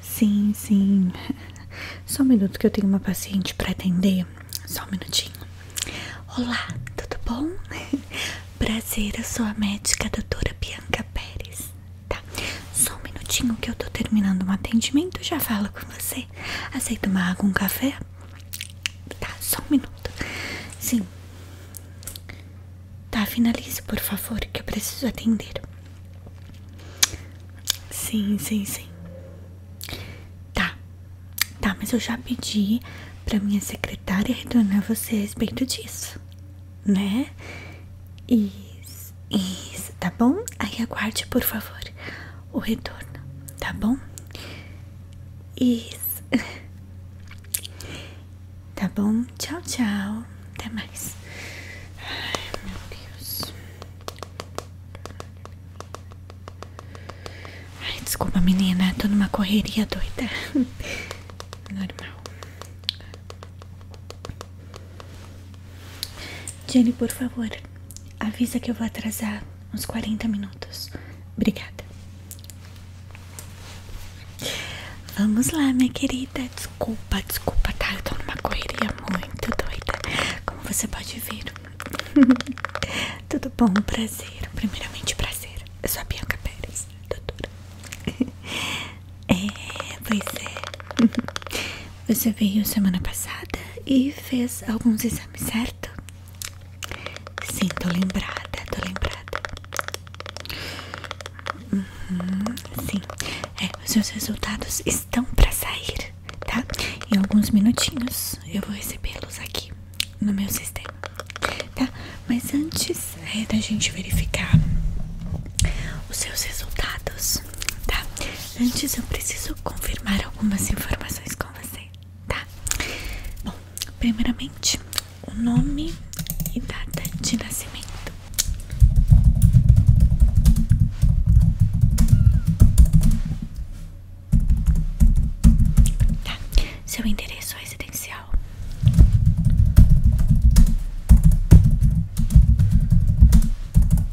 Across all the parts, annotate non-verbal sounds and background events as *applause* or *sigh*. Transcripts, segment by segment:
Sim, sim. Só um minuto que eu tenho uma paciente para atender. Só um minutinho. Olá, tudo bom? *laughs* Prazer, eu sou a médica a doutora Bianca Pérez. Tá, só um minutinho que eu tô terminando um atendimento. Já falo com você. Aceita uma água, um café? Tá, só um minuto. Sim. Tá, finalize, por favor, que eu preciso atender. Sim, sim, sim. Tá. Tá, mas eu já pedi pra minha secretária retornar você a respeito disso, né? Isso, isso, tá bom? Aí aguarde, por favor, o retorno, tá bom? Isso. *laughs* Tá bom? Tchau, tchau. Até mais. Ai, meu Deus. Ai, desculpa, menina. Tô numa correria doida. *laughs* Normal. Jenny, por favor, avisa que eu vou atrasar uns 40 minutos. Obrigada. Vamos lá, minha querida. Desculpa, desculpa, tá? Eu tô numa correria muito doida. Como você pode ver. *laughs* Tudo bom? Prazer. Primeiramente, prazer. Eu sou a Bianca Pérez, doutora. *laughs* É, pois é. *laughs* Você veio semana passada e fez alguns exames, certo? Sim, tô lembrada, tô lembrada. Uhum. sim, é, os seus resultados estão para sair, tá? Em alguns minutinhos eu vou recebê-los aqui no meu sistema, tá? Mas antes é, da gente verificar os seus resultados, tá? Antes eu preciso confirmar algumas informações com você, tá? Bom, primeiramente o nome e data de nascimento. Tá. Seu endereço residencial.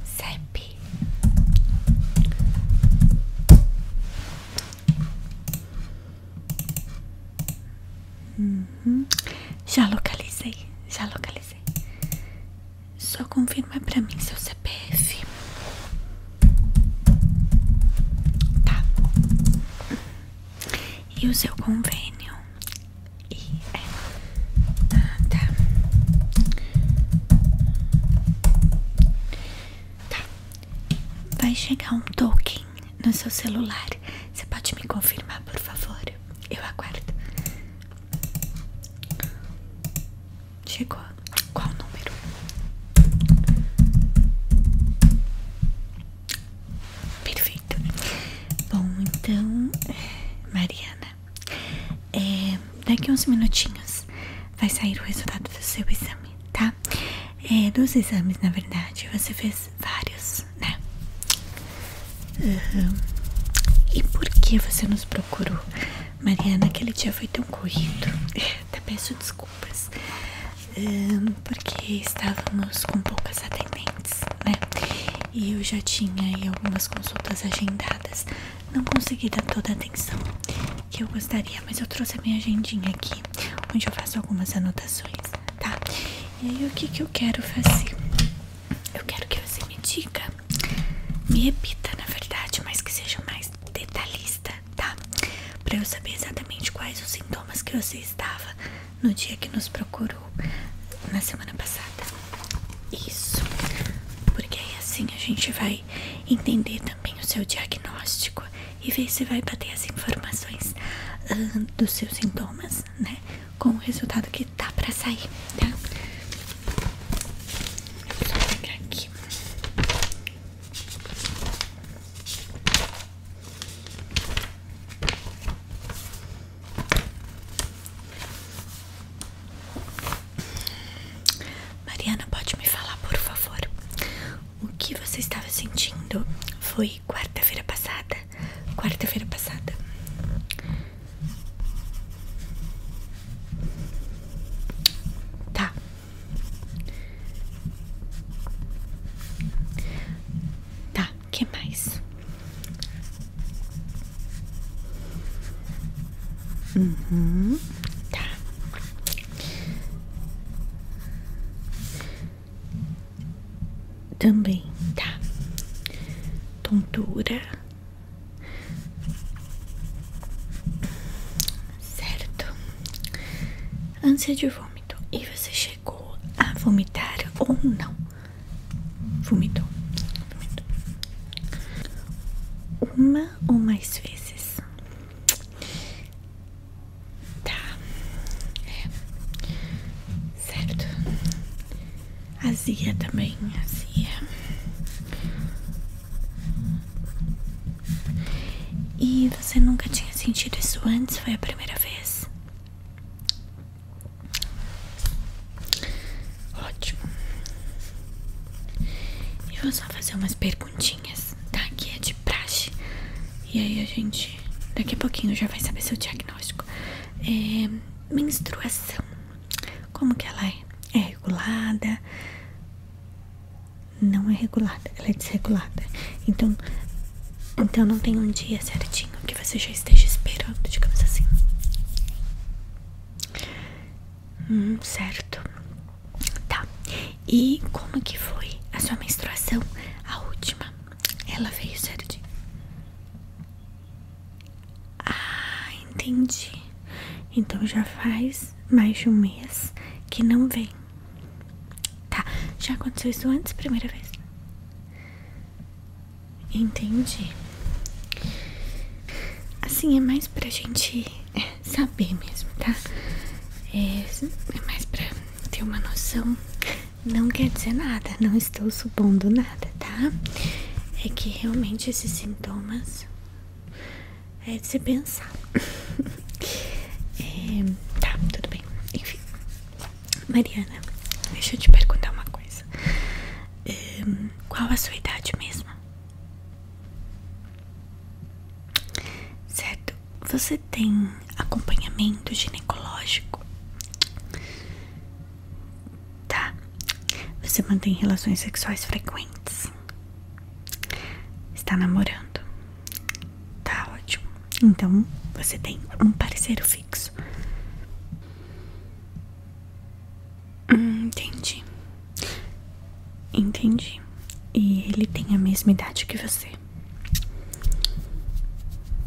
CEP. Uhum. Já localizei, já localizei. Só confirma pra mim seu CPF. Tá. E o seu convênio? E é. tá. Tá. Vai chegar um token no seu celular? Você pode me confirmar, por favor? Eu aguardo. Chegou. Qual o número? Perfeito. Bom, então, eh, Mariana, eh, daqui uns minutinhos vai sair o resultado do seu exame, tá? Eh, dos exames, na verdade, você fez vários, né? E por que você nos procurou? Mariana, aquele dia foi tão corrido. *laughs* Até peço desculpas. porque estávamos com poucas atendentes, né? E eu já tinha aí algumas consultas agendadas. Não consegui dar toda a atenção que eu gostaria, mas eu trouxe a minha agendinha aqui, onde eu faço algumas anotações tá? E aí o que que eu quero fazer? Eu quero que você me diga, me repita na verdade, mas que seja mais detalhista, tá? Pra eu saber exatamente quais os sintomas que você estava no dia que nos procurou na semana passada. Isso, porque aí assim a gente vai entender também o seu diagnóstico e ver se vai bater as informações ah, dos seus sintomas né, com o resultado que tá pra sair, tá? Só pegar aqui. Mariana, pode me falar, por favor, o que você estava sentindo? Foi quarta-feira passada. Quarta-feira passada. Tá. Tá, que mais? Uhum. tá também, tá? Tontura. Certo. Ânsia de vômito. E você chegou a vomitar ou não? Vomitou. Vomitou. Uma ou mais vezes? Tá. É. Certo. Azia também, azia. E você nunca tinha sentido isso antes? Foi a primeira vez? Ótimo. Eu vou só fazer umas perguntinhas, tá? Que é de praxe. E aí a gente, daqui a pouquinho já vai saber seu diagnóstico diagnóstico. É, menstruação. Como que ela é? É regulada? Não é regulada, ela é desregulada. Então, então não tem um dia certinho que você já esteja esperando, digamos assim. Hum, certo. Tá. E como que foi a sua menstruação? A última. Ela veio certinho. Ah, entendi. Então já faz mais de um mês que não vem. Tá, já aconteceu isso antes, primeira vez? Entendi. Assim, é mais pra gente saber mesmo, tá? É, é mais pra ter uma noção não quer dizer nada, não estou supondo nada, tá? É que realmente esses sintomas é de se pensar. *laughs* É, tá, tudo bem. Enfim, Mariana, deixa eu te perguntar uma coisa: é, qual a sua idade mesmo? Certo, você tem acompanhamento ginecológico? Tá. Você mantém relações sexuais frequentes? Está namorando? Tá ótimo. Então você tem um parceiro fixo. Hum, entendi. Entendi. E ele tem a mesma idade que você.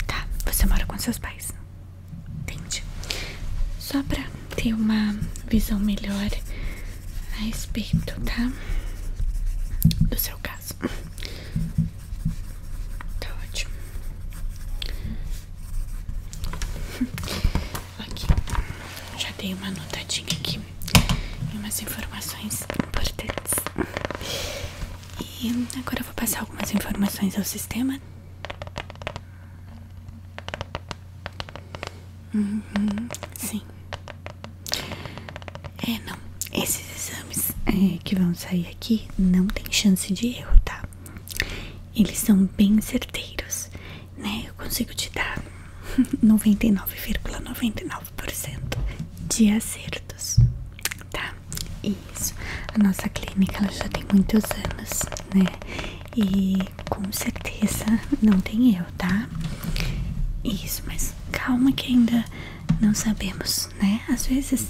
Tá, você mora com seus pais. entende? Só pra ter uma visão melhor a respeito, tá? Do seu caso. Tá ótimo. *laughs* Aqui, já dei uma anotadinha aqui e umas informações importantes. E agora eu vou passar algumas informações ao sistema. Uhum, sim. É, não. Esses exames é, que vão sair aqui não tem chance de erro, tá? Eles são bem certeiros, né? Eu consigo te dar 99,99% *laughs* de acertos, tá? Isso. A nossa clínica ela já tem muitos anos, né? E com certeza não tem eu, tá? Isso, mas calma que ainda não sabemos, né? Às vezes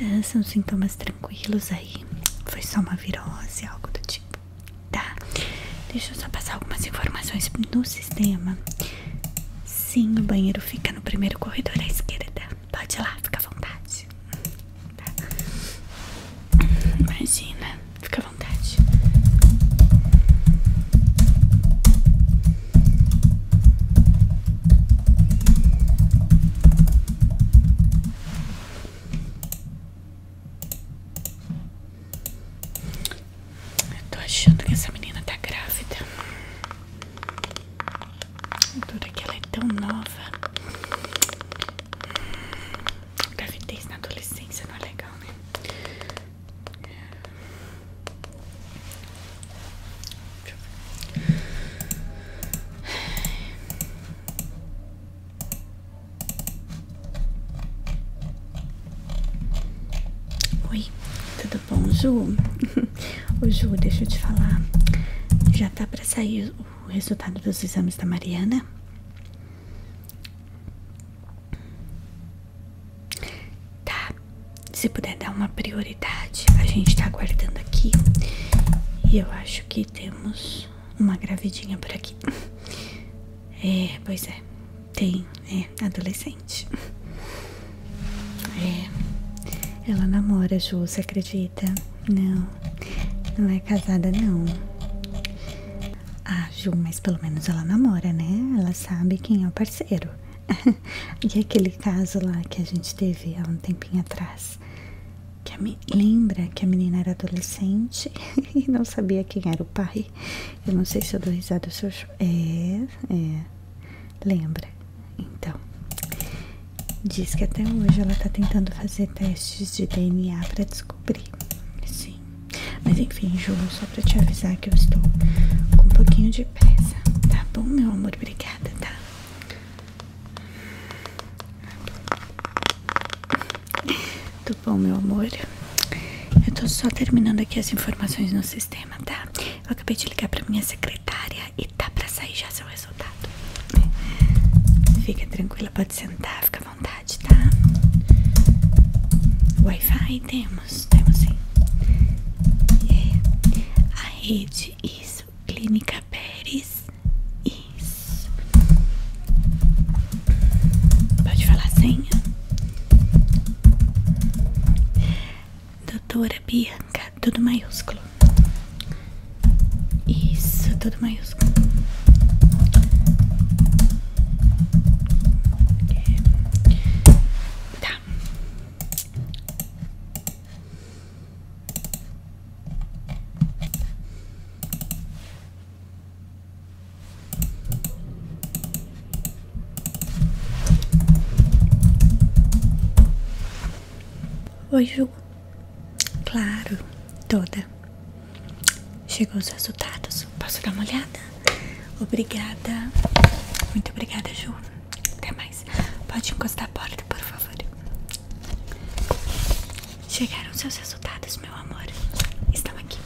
eh, são sintomas tranquilos aí. Foi só uma virose, algo do tipo, tá? Deixa eu só passar algumas informações no sistema. Sim, o banheiro fica no primeiro corredor à esquerda. Pode ir lá, fica à vontade. Tá. Imagina, fica à vontade. Eu tô achando que essa menina tá grávida. Dura que ela é tão nova. Gravidez hum, na adolescência não é legal, né? Oi, tudo bom, Ju? *laughs* Ô Ju, deixa eu te falar. Já tá pra sair o resultado dos exames da Mariana? Tá. Se puder dar uma prioridade, a gente tá aguardando aqui. E eu acho que temos uma gravidinha por aqui. É, pois é. Tem, é adolescente. É. Ela namora, Ju, você acredita? Não, não é casada, não. Ah, Ju, mas pelo menos ela namora, né? Ela sabe quem é o parceiro. *laughs* e aquele caso lá que a gente teve há um tempinho atrás. Que me... Lembra que a menina era adolescente *laughs* e não sabia quem era o pai? Eu não sei se eu dou risada ou É, é. Lembra? Então, diz que até hoje ela tá tentando fazer testes de DNA para descobrir. Sim. Mas enfim, Ju, só pra te avisar que eu estou com um pouquinho de pressa. Tá bom, meu amor? Obrigada, tá? Tudo bom, meu amor? Eu tô só terminando aqui as informações no sistema, tá? Eu acabei de ligar pra minha secretária e tá pra sair já seu resultado. Fica tranquila, pode sentar, fica à vontade, tá? Wi-Fi temos, temos sim. É, a rede, isso, Clínica Pérez, isso. Pode falar a senha? doutora Bianca, tudo maiúsculo. Isso, tudo maiúsculo. É. Tá. Oi, Ju. Claro, toda. Chegou os resultados. Posso dar uma olhada? Obrigada. Muito obrigada, Ju. Até mais. Pode encostar a porta, por favor. Chegaram seus resultados, meu amor. Estão aqui.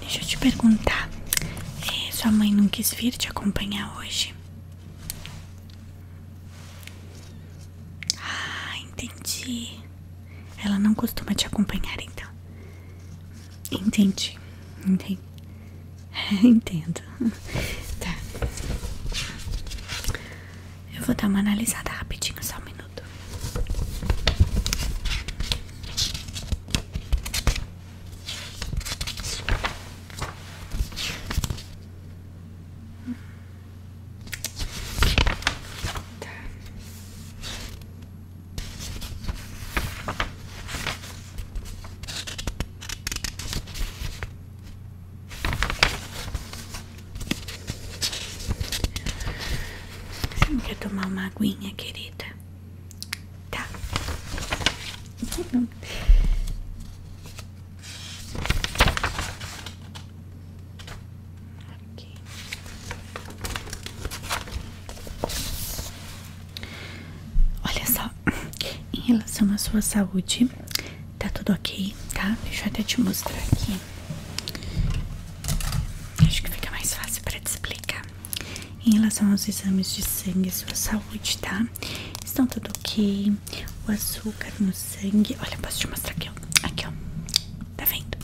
Deixa eu te perguntar. É, sua mãe não quis vir te acompanhar hoje. Ah, entendi. Ela não costuma te acompanhar, então. Entendi. Entendi. *laughs* Entendo. Tá. Eu vou dar uma analisada rapidinho, só um minuto. Tá. não quer tomar uma aguinha, querida? Tá. Aqui. Olha só, em relação à sua saúde, tá tudo ok, tá? Deixa eu até te mostrar aqui. Acho que fica mais fácil para te explicar. Em relação aos exames de sangue e sua saúde, tá? Estão tudo ok? O açúcar no sangue. Olha, posso te mostrar aqui, ó. Aqui, ó. Tá vendo?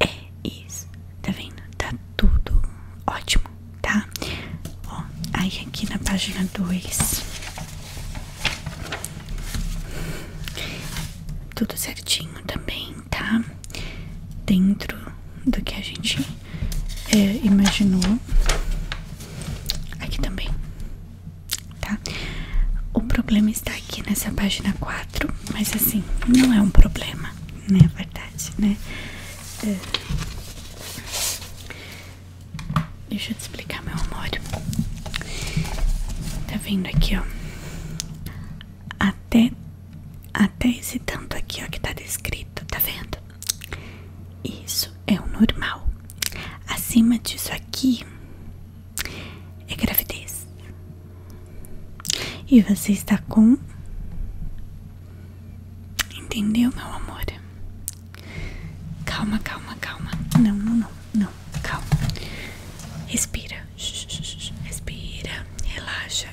É isso. Tá vendo? Tá tudo ótimo, tá? Ó, aí aqui na página 2. Tudo certinho também tá dentro do que a gente é, imaginou aqui também, tá? O problema está aqui nessa página 4, mas assim, não é um problema, né? É verdade, né? É. Deixa eu te explicar meu amor. Tá vendo aqui, ó? até até esse tanto aqui ó que tá descrito tá vendo isso é o normal acima disso aqui é gravidez e você está com entendeu meu amor calma calma calma não não não não calma respira Respira, relaxa,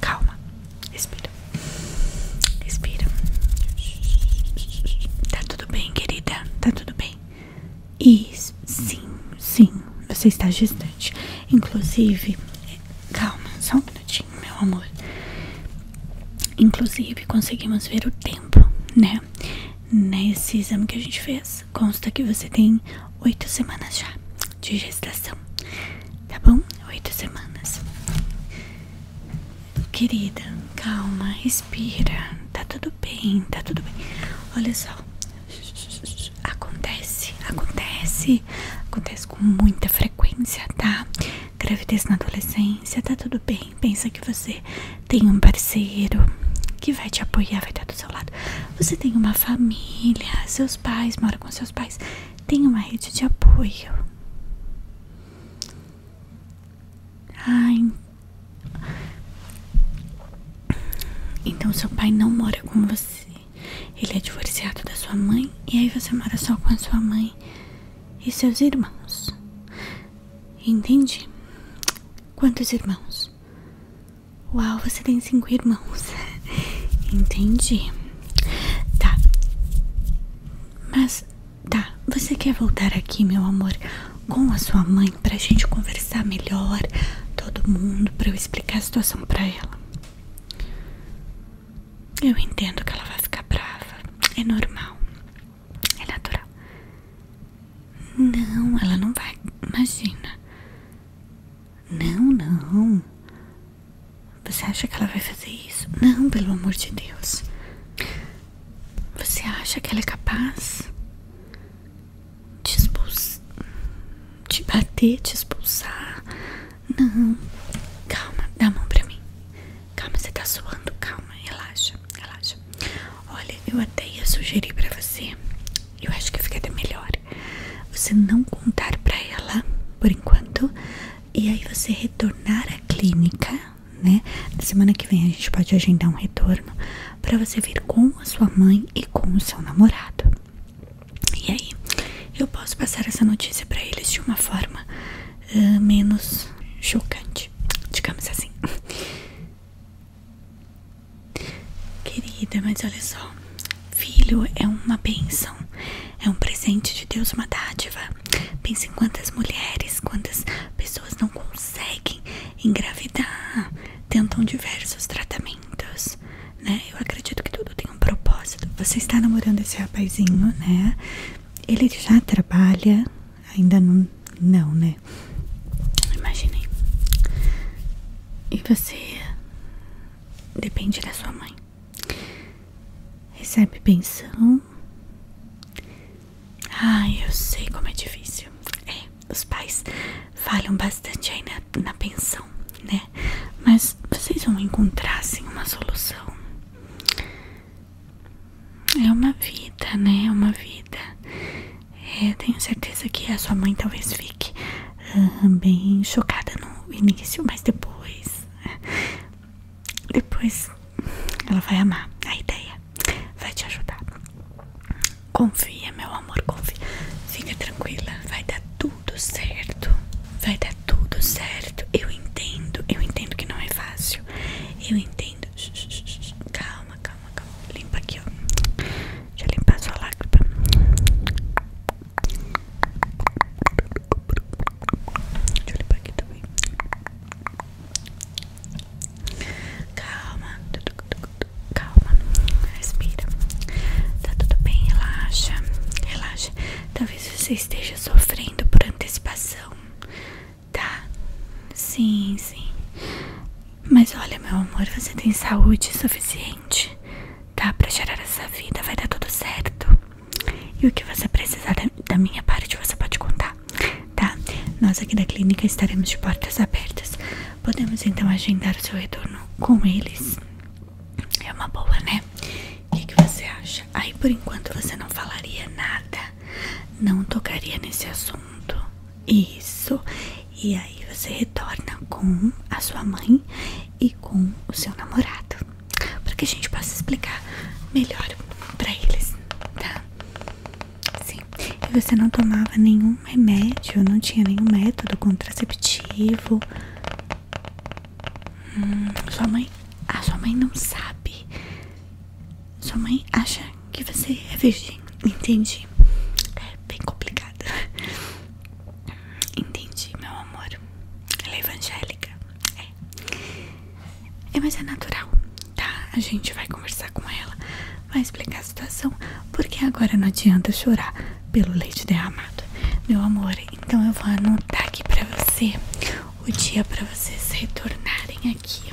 Calma, respira. Respira. Tá tudo bem, querida? Tá tudo bem? Isso, sim, sim. Você está gestante. Inclusive, calma, só um minutinho, meu amor. Inclusive, conseguimos ver o tempo, né? Nesse exame que a gente fez. Consta que você tem oito semanas já de gestação. Tá bom? Oito semanas. Querida, calma, respira. Tá tudo bem, tá tudo bem. Olha só. Acontece, acontece. Acontece com muita frequência, tá? Gravidez na adolescência, tá tudo bem. Pensa que você tem um parceiro que vai te apoiar, vai estar seu lado. Você tem uma família, seus pais moram com seus pais, tem uma rede de apoio. Ai. Então seu pai não mora com você. Ele é divorciado da sua mãe e aí você mora só com a sua mãe e seus irmãos. Entende? Quantos irmãos? Uau, você tem cinco irmãos. *laughs* Entendi. Tá. Mas, tá. Você quer voltar aqui, meu amor, com a sua mãe pra gente conversar melhor? Todo mundo, pra eu explicar a situação pra ela. Eu entendo que ela vai ficar brava. É normal. É natural. Não, ela não vai. Imagina. Não, não. Você acha que ela vai fazer isso? Não, pelo amor de Deus. Você acha que ela é capaz de expulsar, de bater, de expulsar? Não. Calma, dá a mão pra mim. Calma, você tá suando. Calma, relaxa, relaxa. Olha, eu até ia sugerir pra você eu acho que fica até melhor você não contar para ela por enquanto e aí você retornar à clínica, né? Na semana que vem a gente pode agendar um retorno para você vir com a sua mãe e com o seu namorado. E aí eu posso passar essa notícia para eles de uma forma menos chocante, digamos assim. Querida, mas olha só, filho é uma bênção, é um presente de Deus, uma dádiva. Pensa em quantas mulheres, quantas pessoas não conseguem engravidar, tentam diversos tratamentos, né? Eu acredito que tudo tem um propósito. Você está namorando esse rapazinho, né? Ele já trabalha, ainda não, não, né? Imaginei. E você depende da sua mãe. Recebe pensão. Ai, eu sei como é difícil. É, os pais falham bastante aí na, pensão, né? Mas vocês vão encontrar assim uma solução. É uma vida, né? É uma vida. Eu tenho certeza que a sua mãe talvez fique bem chocada no início, mas depois. Depois ela vai amar a ideia, vai te ajudar. Confia, meu amor, confia. Fica tranquila, vai dar tudo certo. Vai dar tudo certo. Eu entendo, eu entendo que não é fácil. Eu entendo. Calma, calma calma, calma. Limpa aqui, ó. Deixa eu limpar a sua lágrima. Deixa eu limpar aqui também. Calma, calma, respira. Tá tudo bem, relaxa, relaxa. Talvez você esteja sofrendo por antecipação, tá? Sim, sim. Mas olha, meu amor, você tem saúde suficiente, tá? Pra gerar essa vida, vai dar tudo certo. E o que você precisar da, minha parte, você pode contar, tá? Nós aqui da clínica estaremos de portas abertas. Podemos então agendar o seu retorno com eles. É uma boa, né? O que você acha? Aí por enquanto você não falaria nada, não tocaria nesse assunto. Isso. E aí você retorna com a sua mãe e com o seu namorado, para que a gente possa explicar melhor para eles, tá? Sim. E você não tomava nenhum remédio, não tinha nenhum método contraceptivo. Hum, sua mãe, a ah, sua mãe não sabe. Sua mãe acha que você é virgem. Entendi. É bem complicado. Entendi, meu amor. Ela é evangélica. É. é. Mas é natural, tá? A gente vai conversar com ela, vai explicar a situação, porque agora não adianta chorar pelo leite derramado. Meu amor, então eu vou anotar aqui pra você o dia pra vocês retornarem aqui.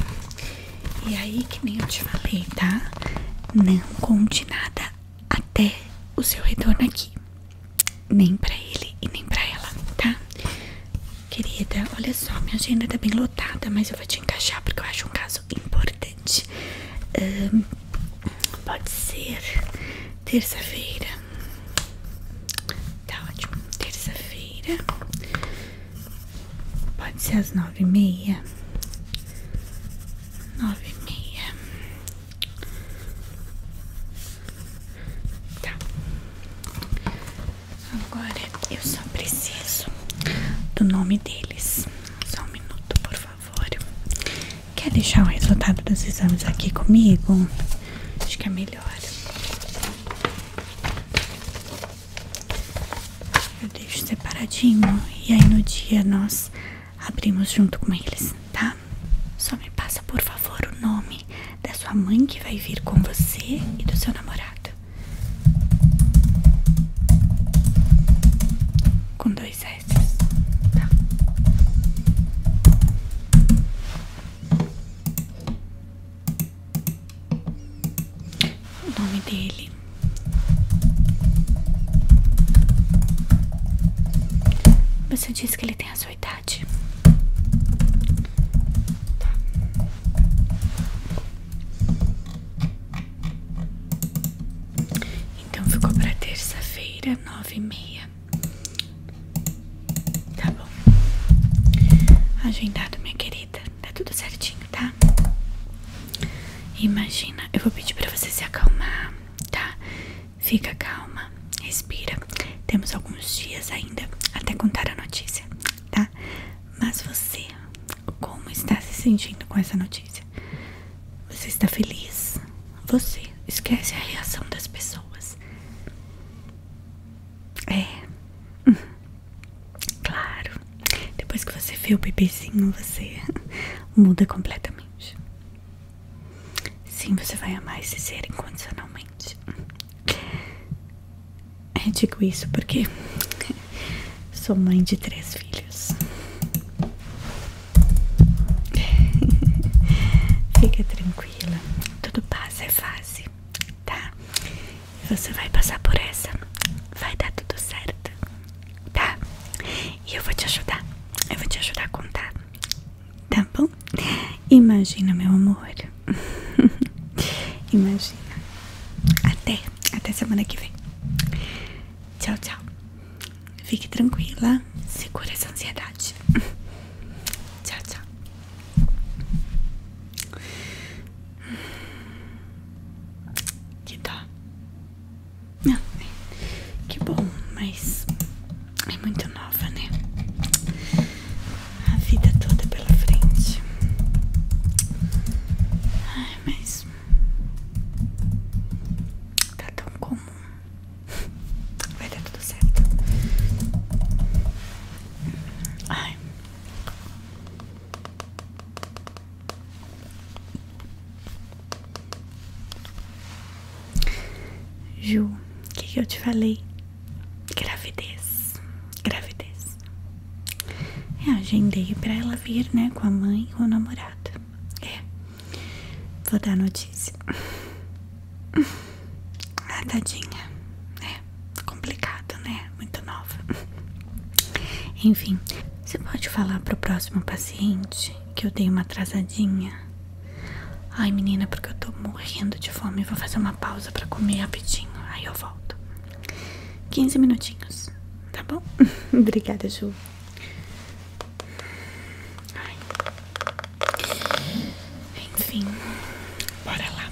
E aí, que nem eu te falei, tá? Não conte nada até o seu retorno aqui. Nem pra ele e nem pra ela, tá? Querida, olha só, minha agenda tá bem lotada, mas eu vou te encaixar porque eu acho um caso importante. pode ser terça-feira. Tá ótimo. Terça-feira. Pode ser às 9 nove e meia, nove e meia, tá. Agora eu só preciso do nome deles. Só um minuto, por favor. Quer deixar o resultado dos exames aqui comigo? Acho que é melhor. Eu deixo separadinho e aí no dia nós abrimos junto com eles, tá? Só me passa, por favor, o nome da sua mãe que vai vir com você e do seu namorado. Com dois S, tá? o nome dele. Você disse que ele tem a sua idade. Tá. Então ficou para terça-feira, nove e meia. Tá bom. Agendado, minha querida. Tá tudo certinho, tá? Imagina, eu vou pedir pra você se acalmar, tá? Fica calma, respira. Temos alguns dias ainda até contar a notícia, tá? Mas você, como está se sentindo com essa notícia? Você está feliz? Você esquece a reação das pessoas. É. Hum. Claro, depois que você vê o bebezinho, você *laughs* muda completamente. Sim, você vai amar esse ser incondicionalmente. Eu digo isso porque *laughs* sou mãe de três filhos. *laughs* Fica tranquila, tudo passa, é fase, tá? Você vai passar por essa, vai dar tudo certo tá? E eu vou te ajudar, eu vou te ajudar a contar, tá bom? Imagina, meu amor, *laughs* imagina. Até, até semana que vem. Tchau, tchau. Fique tranquila, segura essa ansiedade. *laughs* Tchau, tchau que tá, Não, né? Que bom, mas é muito nova, né? A vida toda pela frente. Ai, mas tá tão comum. Vai dar tudo certo. Ai. Ju, o que, eu te falei? Gravidez, gravidez. É, agendei pra ela vir, né? Com a mãe ou o namorado. É, vou dar notícia. Ah, tadinha. É, complicado, né? Muito nova. Enfim, você pode falar pro próximo paciente que eu dei uma atrasadinha? Ai, menina, porque eu tô morrendo de fome. Vou fazer uma pausa pra comer rapidinho. Aí eu volto. 15 minutinhos, tá bom? *laughs* Obrigada, Ju. Ai. Enfim, bora lá.